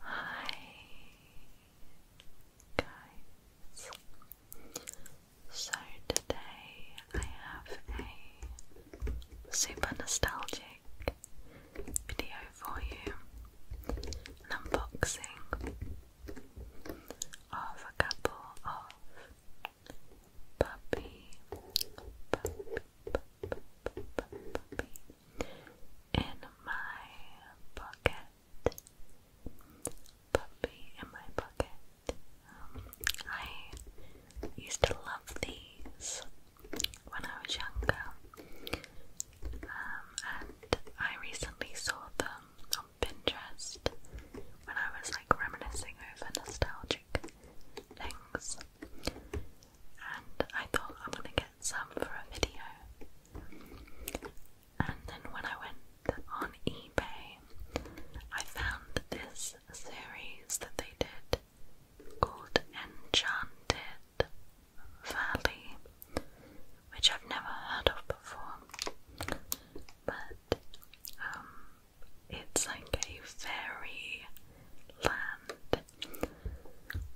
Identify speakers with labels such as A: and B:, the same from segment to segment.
A: Hi guys. So today I have a super nostalgic video for you. unboxing of a couple of puppy puppy puppy puppy puppy in my pocket. Puppy in my pocket. Um, I used to love these when I was younger. Um, and I recently saw them on Pinterest when I was like reminiscing over nostalgic things. And I thought I'm gonna get some for a video. And then when I went on eBay, I found this series that they did called Enchanted Valley, which I've never heard of before. But um, it's like a fairy land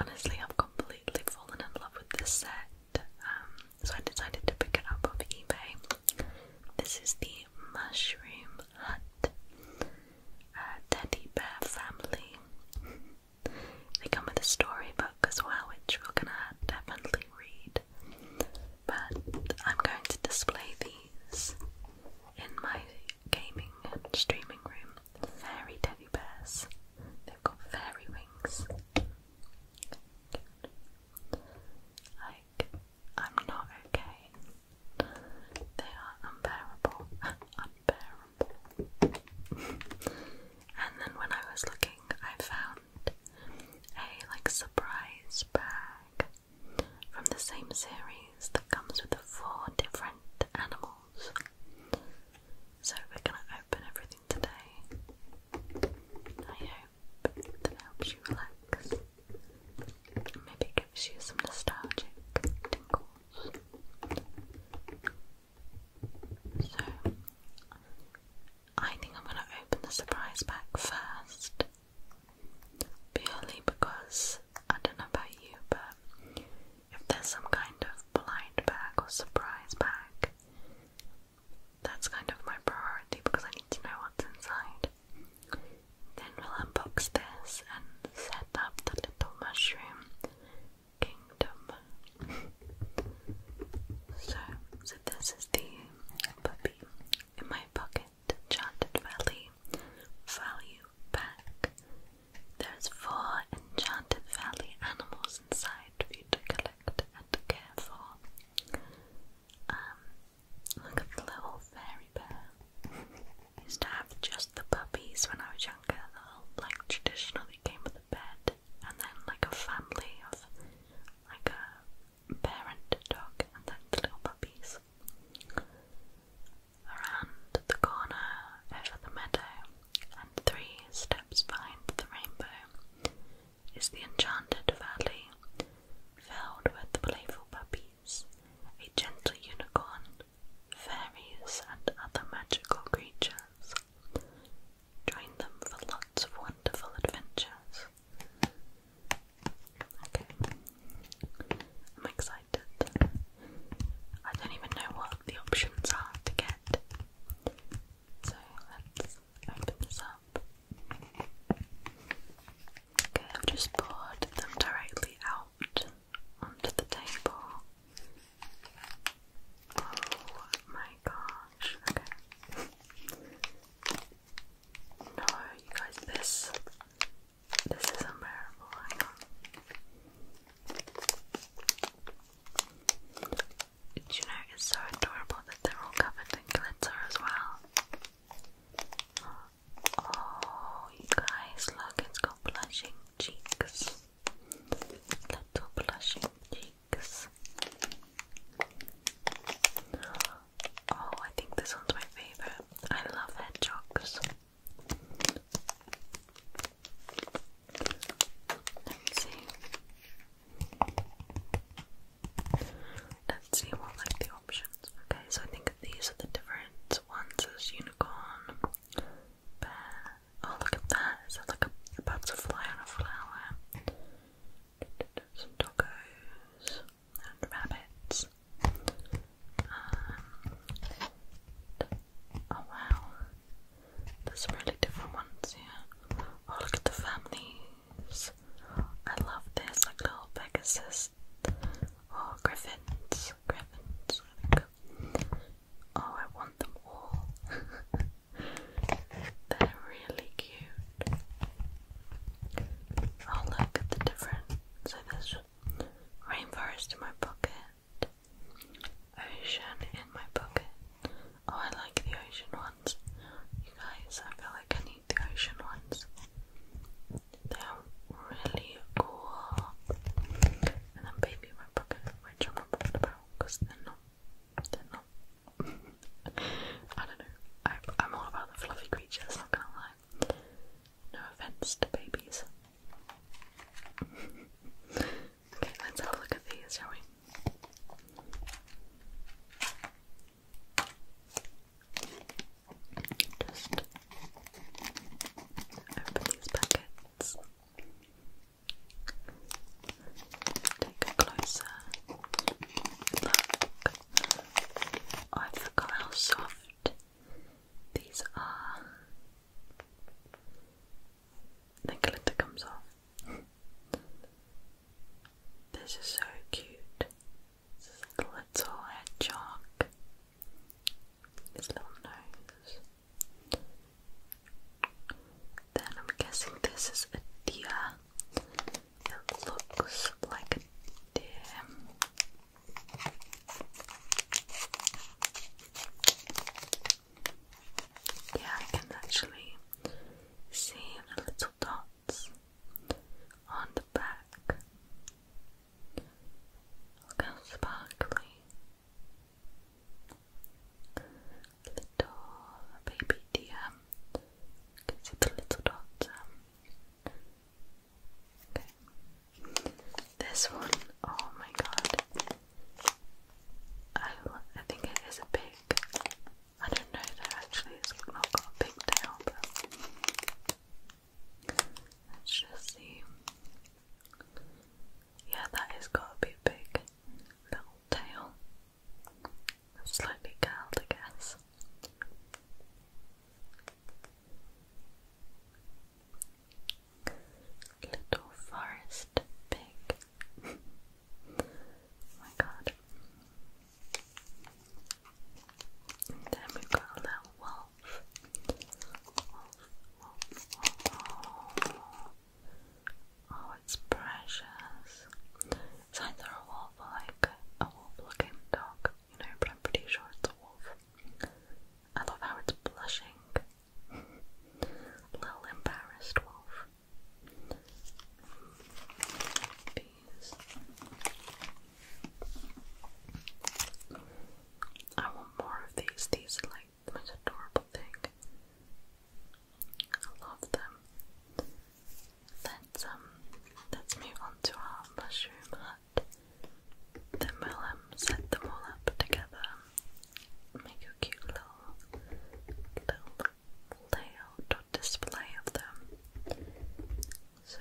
A: Honestly, I've completely fallen in love with this set, um, so I decided to pick it up on eBay. This is the Mushroom Hut uh, Teddy Bear Family. they come with a storybook as well, which we're gonna definitely read. But I'm going to display these in my gaming and streaming room fairy teddy bears. They've got fairy wings. Like, I'm not okay. They are unbearable. unbearable. and then when I was looking, I found a like surprise bag from the same series that comes with the four different animal so we're gonna open everything today. I hope that helps you relax. Maybe gives you some nostalgic tingles. So I think I'm gonna open the surprise pack first. Purely because I don't know about you, but if there's some kind of blind bag or surprise bag, that's kind of my priority because I need to know what's inside. Then we'll unbox this and set up the little mushroom kingdom. so, so this is the puppy in my pocket, Enchanted Valley value pack. There's four enchanted valley animals inside for you to collect and care for. Um, look at the little fairy bear. used to have just the puppies when I was younger. They'll like traditionally came with a bed, and then like a family of like a parent dog, and then the little puppies around the corner over the meadow, and three steps behind the rainbow is the enchanted valley filled with playful puppies, a gentle unicorn, fairies, and other magical creatures. Join them for lots of wonderful adventures. I'm excited. I don't even know what the options are to get. So let's open this up. Okay, I've just poured them directly out onto the table. Oh my gosh, okay. No, you guys, this this is unbearable. Hang on. Do you know it's so adorable that they're all covered in glitter as well? Oh, guys, look, it's got blushing cheeks. Little blushing cheeks. Oh, I think this one's my favourite. I love hedgehogs. Let's see. Let's see what like the options. Okay, so I think these are the different ones. There's unicorn, bear. Oh look at that! Is that like a butterfly and a flower? Some and rabbits. Um, oh wow, there's really different ones here. Oh look at the families. I love this, like little Pegasus. Oh, griffins, griffins. Oh, I want them all. They're really cute. Oh, look at the different. So Rainforest in my pocket. Ocean in my pocket. Oh, I like the ocean ones. You guys, I feel like I need the ocean ones. They're really cool. And then baby in my pocket, which I'm not bothered about because they're not. They're not. I don't know. I, am all about the fluffy creatures, not gonna lie. No offense to babies. okay, let's have a look at these, shall we? Just open these packets. Take a closer look. Oh, I forgot how soft these are the glitter comes off. this is so cute. This is like a little hedgehog. His little nose. Then I'm guessing this is a deer. It looks like a deer. Yeah, I can actually see the little dots on the back. Look how sparkly. Little baby deer. Um, you can see the little dots um, this one, oh my god. I, I think it is a pig. I don't know though, actually, it's not got a pig tail, but let's just see. Yeah, that is got a bit Little tail. Slightly curled, I guess. Little forest pig. oh my god. then we got a little wolf. Oh, it's precious. It's either a wolf like a wolf looking dog no, but I'm pretty sure it's a wolf. I love how it's blushing. Little embarrassed wolf. Bees. I want more of these. These are like the most adorable thing. I love them let's um let's move on to our mushroom hut. Then we'll um set them all up together. Make a cute little little layout or display of them. So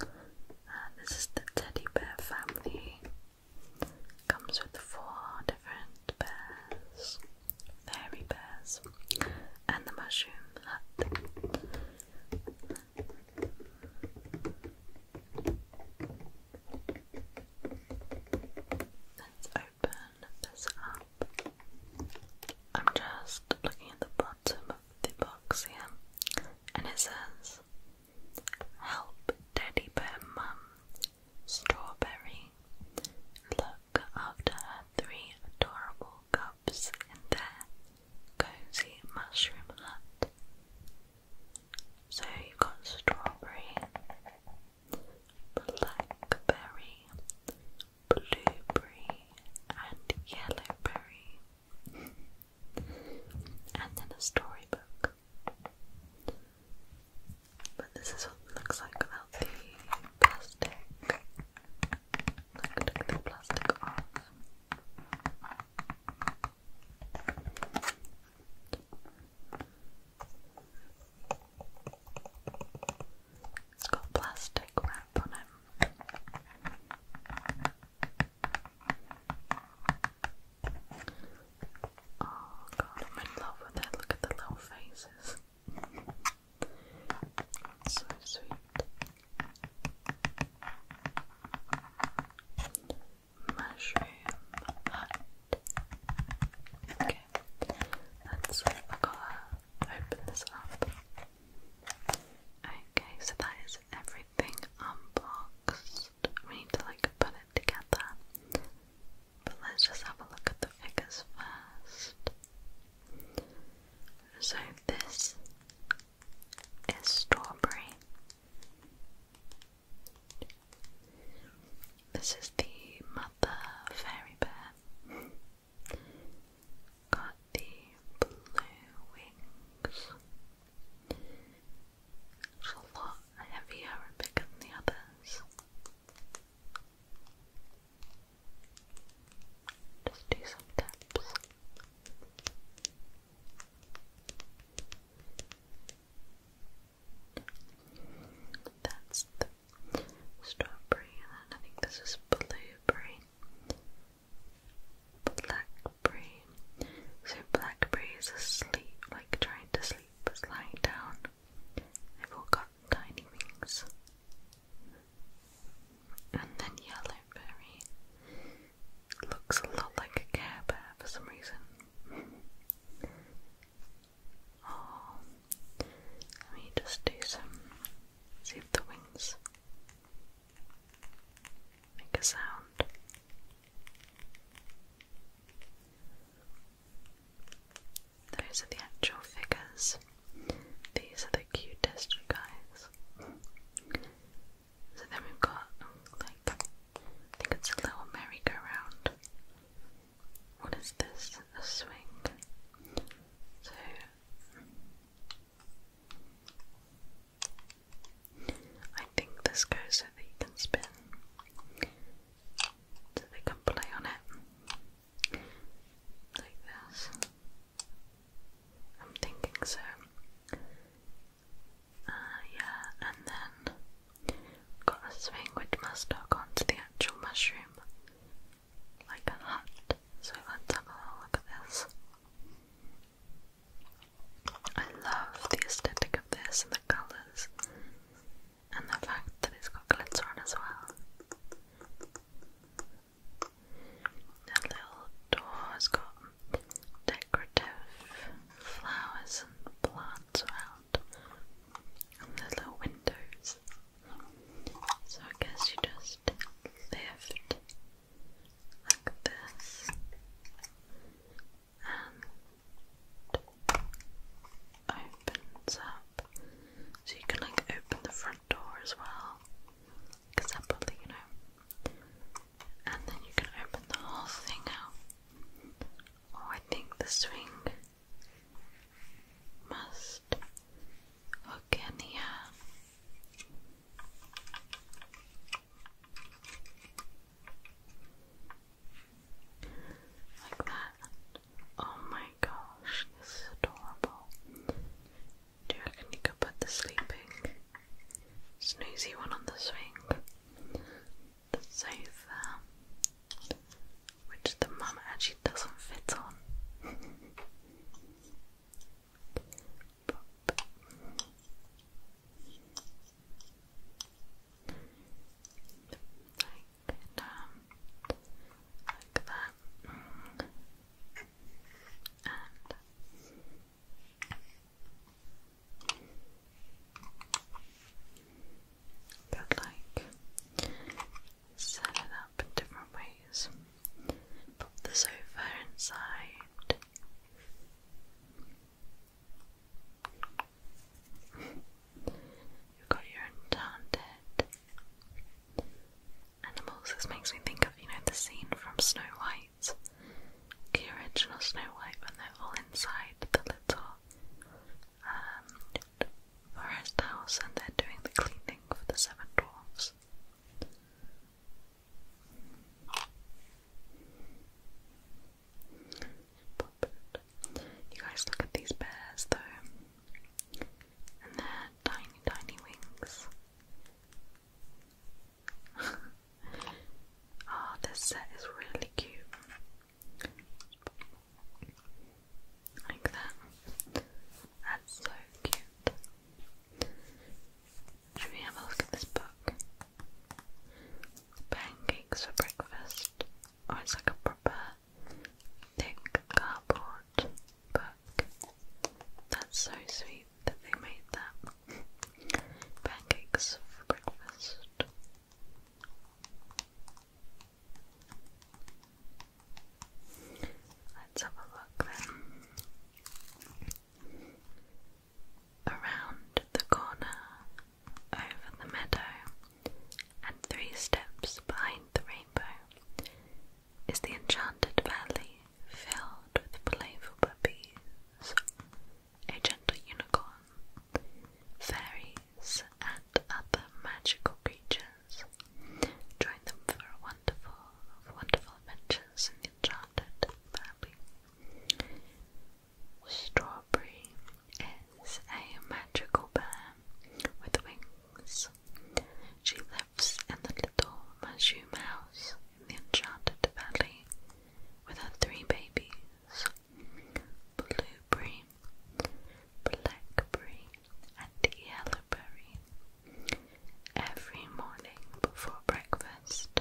A: uh, this is the teddy bear family. Comes with four different bears, fairy bears, and the mushroom hut. Let's open this up. I'm just looking at the bottom of the box here, and it says Help Daddy Bear Mum Strawberry. Look after three adorable cub shops in their cozy mushroom hut. So you've got strawberry, blackberry, blueberry, and yellowberry, and then a storybook. But this is what it looks like without the plastic. Take the plastic off. It's got plastic wrap on it. Oh god, I'm in love with it. Look at the little faces so sweet. Mushroom hut. Okay, let's open this up. Okay, so that is everything unboxed. We need to like put it together. But let's just have a look at the figures first. So this is strawberry. This is the mother fairy bear. Got the blue wings. It's a lot heavier and bigger than the others. Just do some taps. That's the strawberry, and then I think this is blueberry, blackberry. So blackberry is asleep, like trying to sleep, is lying down. They've got tiny wings. And then yellow berry looks a lot like a Care Bear for some reason. Oh, let me just do some. See if the wings make a sound. Those are the actual figures. These are the cutest guys. So then we've got like I think it's a little merry-go-round. What is this? A swing. So I think this goes so that you can spin. So they can play on it like this. I'm thinking so. Uh, yeah, and then got this thing which must hook onto the actual mushroom, like a hut. So let's have a look at this. I love the aesthetic of this and the colours, and the fact that it's got glitter on as well. The little door has got decorative flowers and plants around and the little windows. So I guess you just lift like this and opens up. So you can like open the front door as well, because you know. And then you can open the whole thing out. Oh, I think the swing must hook in here. Like that. Oh my gosh, this is adorable. Do you reckon you could put the sleeping snoozy one on the swing? The sofa, which the mum actually doesn't fit on. Good. Um, like that. Mm. And but like set it up in different ways. Put the sofa inside. you got your enchanted Animals, this makes me think of, you know, the scene from Snow White, the original Snow White, when they're all inside the little um, forest house and they're doing the cleaning for the seven dwarfs. You guys look at these bears though and their tiny, tiny wings. Ah, this set is really cute. Like that. That's so cute. Should we have a look at this book? Pancakes for breakfast or oh, it's like a proper thick cardboard book. That's so sweet that they made that. Pancakes for breakfast. Let's have a look then. Around the corner, over the meadow, and three steps behind the rainbow is the enchanted valley filled with playful puppies, a gentle unicorn, fairies, and other magical creatures. Join them for wonderful, wonderful adventures in the enchanted valley. Strawberry is a magical bear with wings. She lives in the little mushroom house in the enchanted valley with her three babies Blueberry, Blackberry, and Yellowberry. Every morning before breakfast,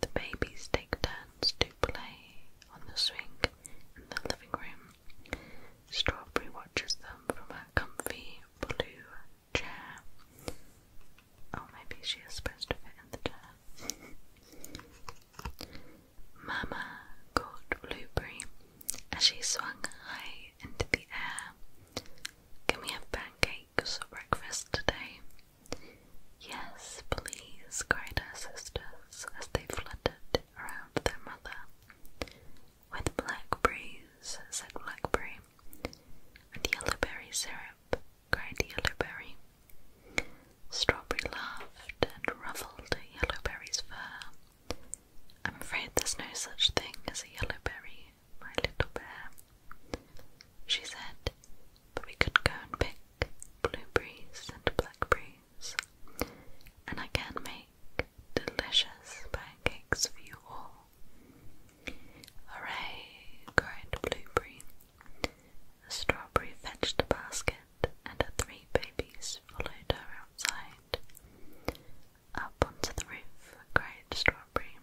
A: the babies take turns to play on the swing in the living room. Strawberry watches them from a comfy blue chair. Oh, maybe she is supposed to fit in the chair. Mama called Blueberry as she swung high into the air. Can we have pancakes for breakfast today? Yes, please, cried her sisters as they fluttered around their mother. With blackberries, said blackberry, and yellowberry syrup, cried yellowberry. Strawberry laughed and ruffled yellowberry's fur. I'm afraid there's no such thing as a yellowberry, my little bear, she said, but we could go and pick blueberries and blackberries. And I can make delicious pancakes for you all. Hooray! cried Blueberry. A strawberry fetched a basket, and her three babies followed her outside. Up onto the roof, cried Strawberry.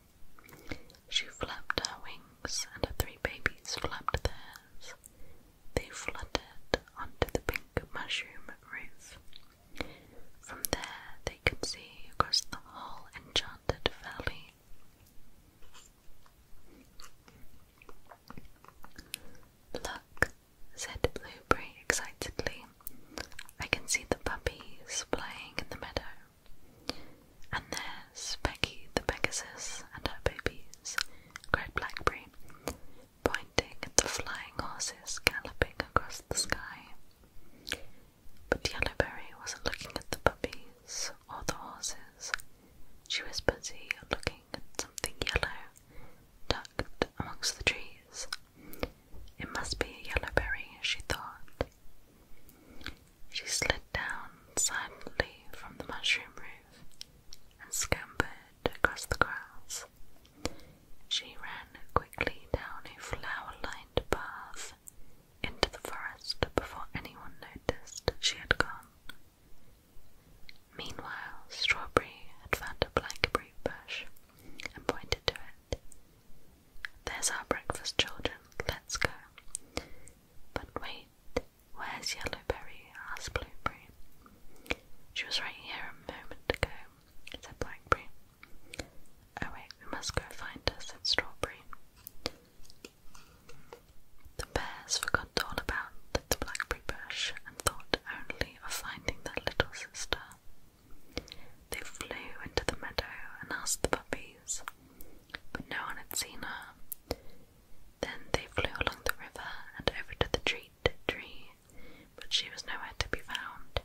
A: She flapped her wings, and her three babies flapped theirs they fluttered onto the pink mushroom roof. From there, they could see across the whole enchanted valley. Look, said Blueberry excitedly. I can see the puppies playing in the meadow. And there's Becky the Pegasus and her babies, cried Blackberry pointing at the flying horses galloping across the sky. But Yellowberry wasn't looking at the puppies or the horses. She was busy looking at something yellow tucked amongst the trees. It must be a yellowberry, she thought. She slid down silently from the mushroom roof and scampered across the grass. She ran quickly down a flower-lined path into the forest before anyone noticed she had gone. Meanwhile, Strawberry had found a blackberry bush and pointed to it. There's our breakfast, children. Let's go. But wait, Where's Yellowberry? asked Blueberry. She was right here a moment ago, said Blackberry. Oh we must go find her, said Strawberry. The bears forgot all about the blackberry bush and thought only of finding their little sister. They flew into the meadow and asked the puppies, but no one had seen her. Then they flew along the river and over to the trees tree, but she was nowhere to be found.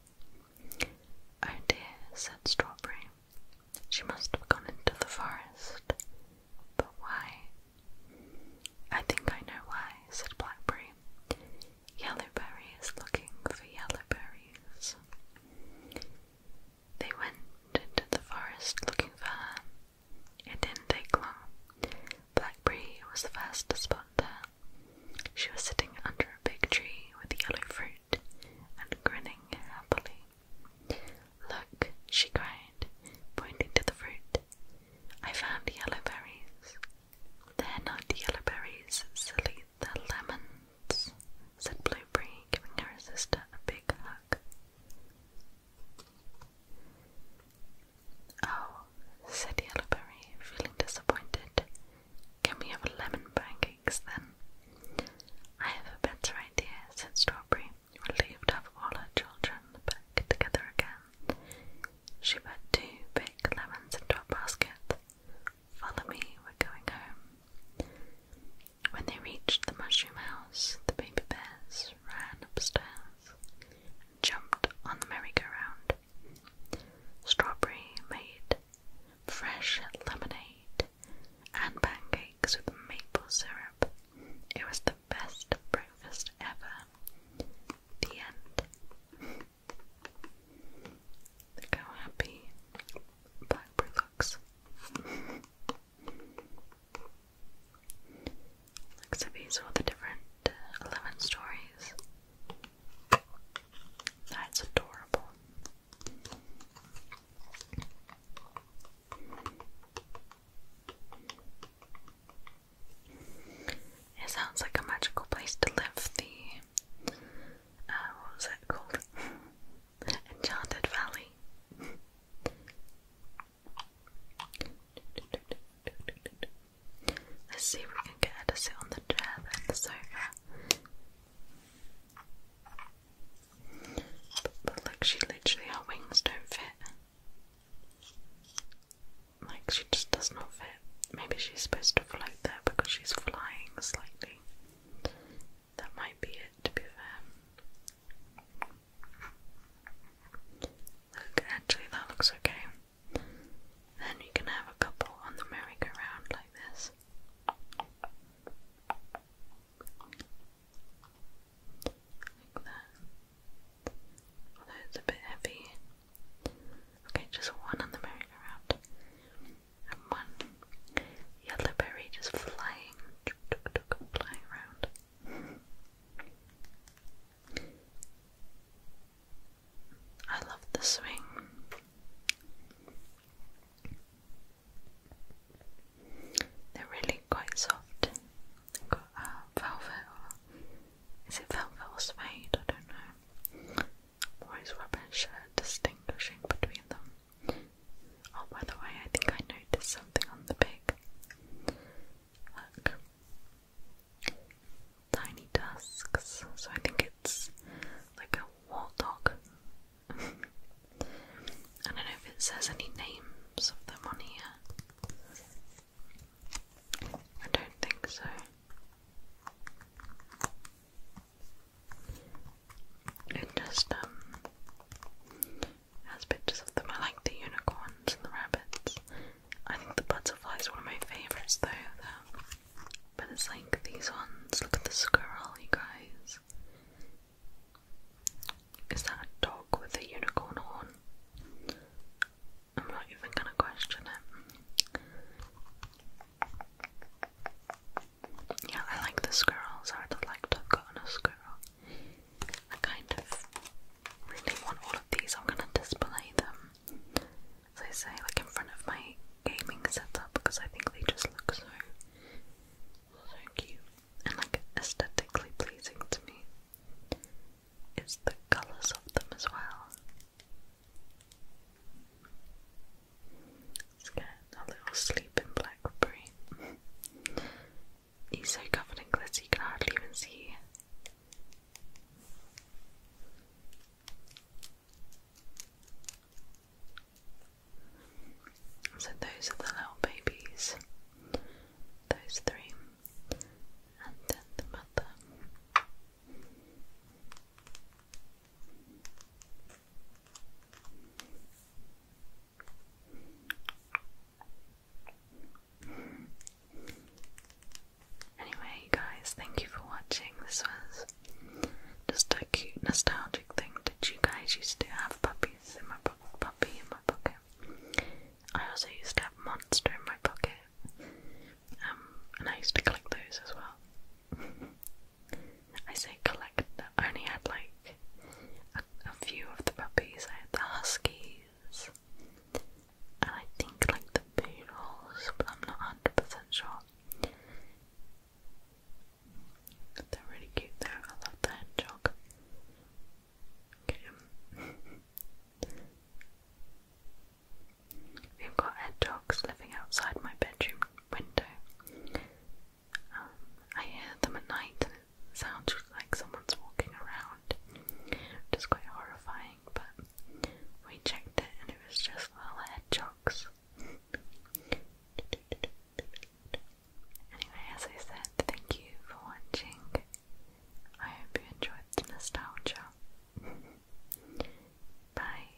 A: Oh dear, said Strawberry, she must have gone into the forest. But why? I think I know why, said Blackberry. Yellowberry is looking for yellow berries. They went into the forest looking for her, it didn't take long. Blackberry was the first to spot her. She was sitting under a big tree with yellow fruit and grinning happily. Look, she cried, pointing to the fruit. I found yellow berries. They're not yellow berries, silly, the lemons, said Blueberry, giving her sister a big hug. Oh, said Yellowberry, feeling disappointed. Can we have lemon pancakes then? I have a better idea, said Strawberry, relieved to have all her children back together again. She put two big lemons into a basket. Follow me, we're going home. When they reached the mushroom house, the baby bears ran upstairs jumped on the merry-go-round. Strawberry made fresh lemonade and pancakes with maple syrup. It was the best breakfast ever. The end. Look how happy Blackberry looks. Looks all the different uh, 11 stories. That's adorable. It sounds like a magical place to live. The, uh, what was that called? Enchanted Valley. Let's see if we can get her to sit on the chair then the sofa. but look, she literally her wings don't fit. Like she just does not fit. Maybe she's supposed to float there because she's flying slightly. That might be it to be fair. Look, actually that looks okay. Then you can have a couple on the merry-go-round like this. Like that. Although it's a bit heavy. Okay, just one on the merry-go-round. And one yellow just flying, flying around. I love the swing. They're really quite soft. got uh, velvet or is it velvet or suede? I don't know. always rubbish at distinguishing between them. Oh, by the way, I think I noticed something on the big Tiny tusks. So I think it's like a war I don't know if it says any names of them on here. I don't think so. It just um has pictures of them. I like the unicorns and the rabbits. I think the butterflies one of my favourites though. Though. But it's like these ones. Look at the squirrel, you guys. Is that a dog with a unicorn horn? I'm not even gonna question it. Yeah, I like the squirrels. I would have liked to have gotten a squirrel. I kind of really want all of these. I'm gonna display them, as I say, like in front of my gaming setup because I think they just look so so cute and like aesthetically pleasing to me. It's the colours of them as well. Let's a little sleeping blackberry. He's so covered in glitter he can hardly even see. So those are the little babies. Those three. And then the mother. Anyway, guys, thank you for watching. This was just a cute, nostalgic thing Did you guys used to have puppies in my puppy in my pocket. I also used to have monster in my pocket, um, and I used to collect those as well. I say collect. I only had like like a, a few of the puppies. I had the huskies, and I think like the poodles, but I'm not hundred percent sure. They're really cute though. I love the hedgehog. Okay. We've got hedgehogs living outside my bedroom window. I hear them at night and it sounds like someone's walking around, It's quite horrifying, but we checked it and it was just little hedgehogs. Anyway, as I said, thank you for watching. I hope you enjoyed the nostalgia. bye.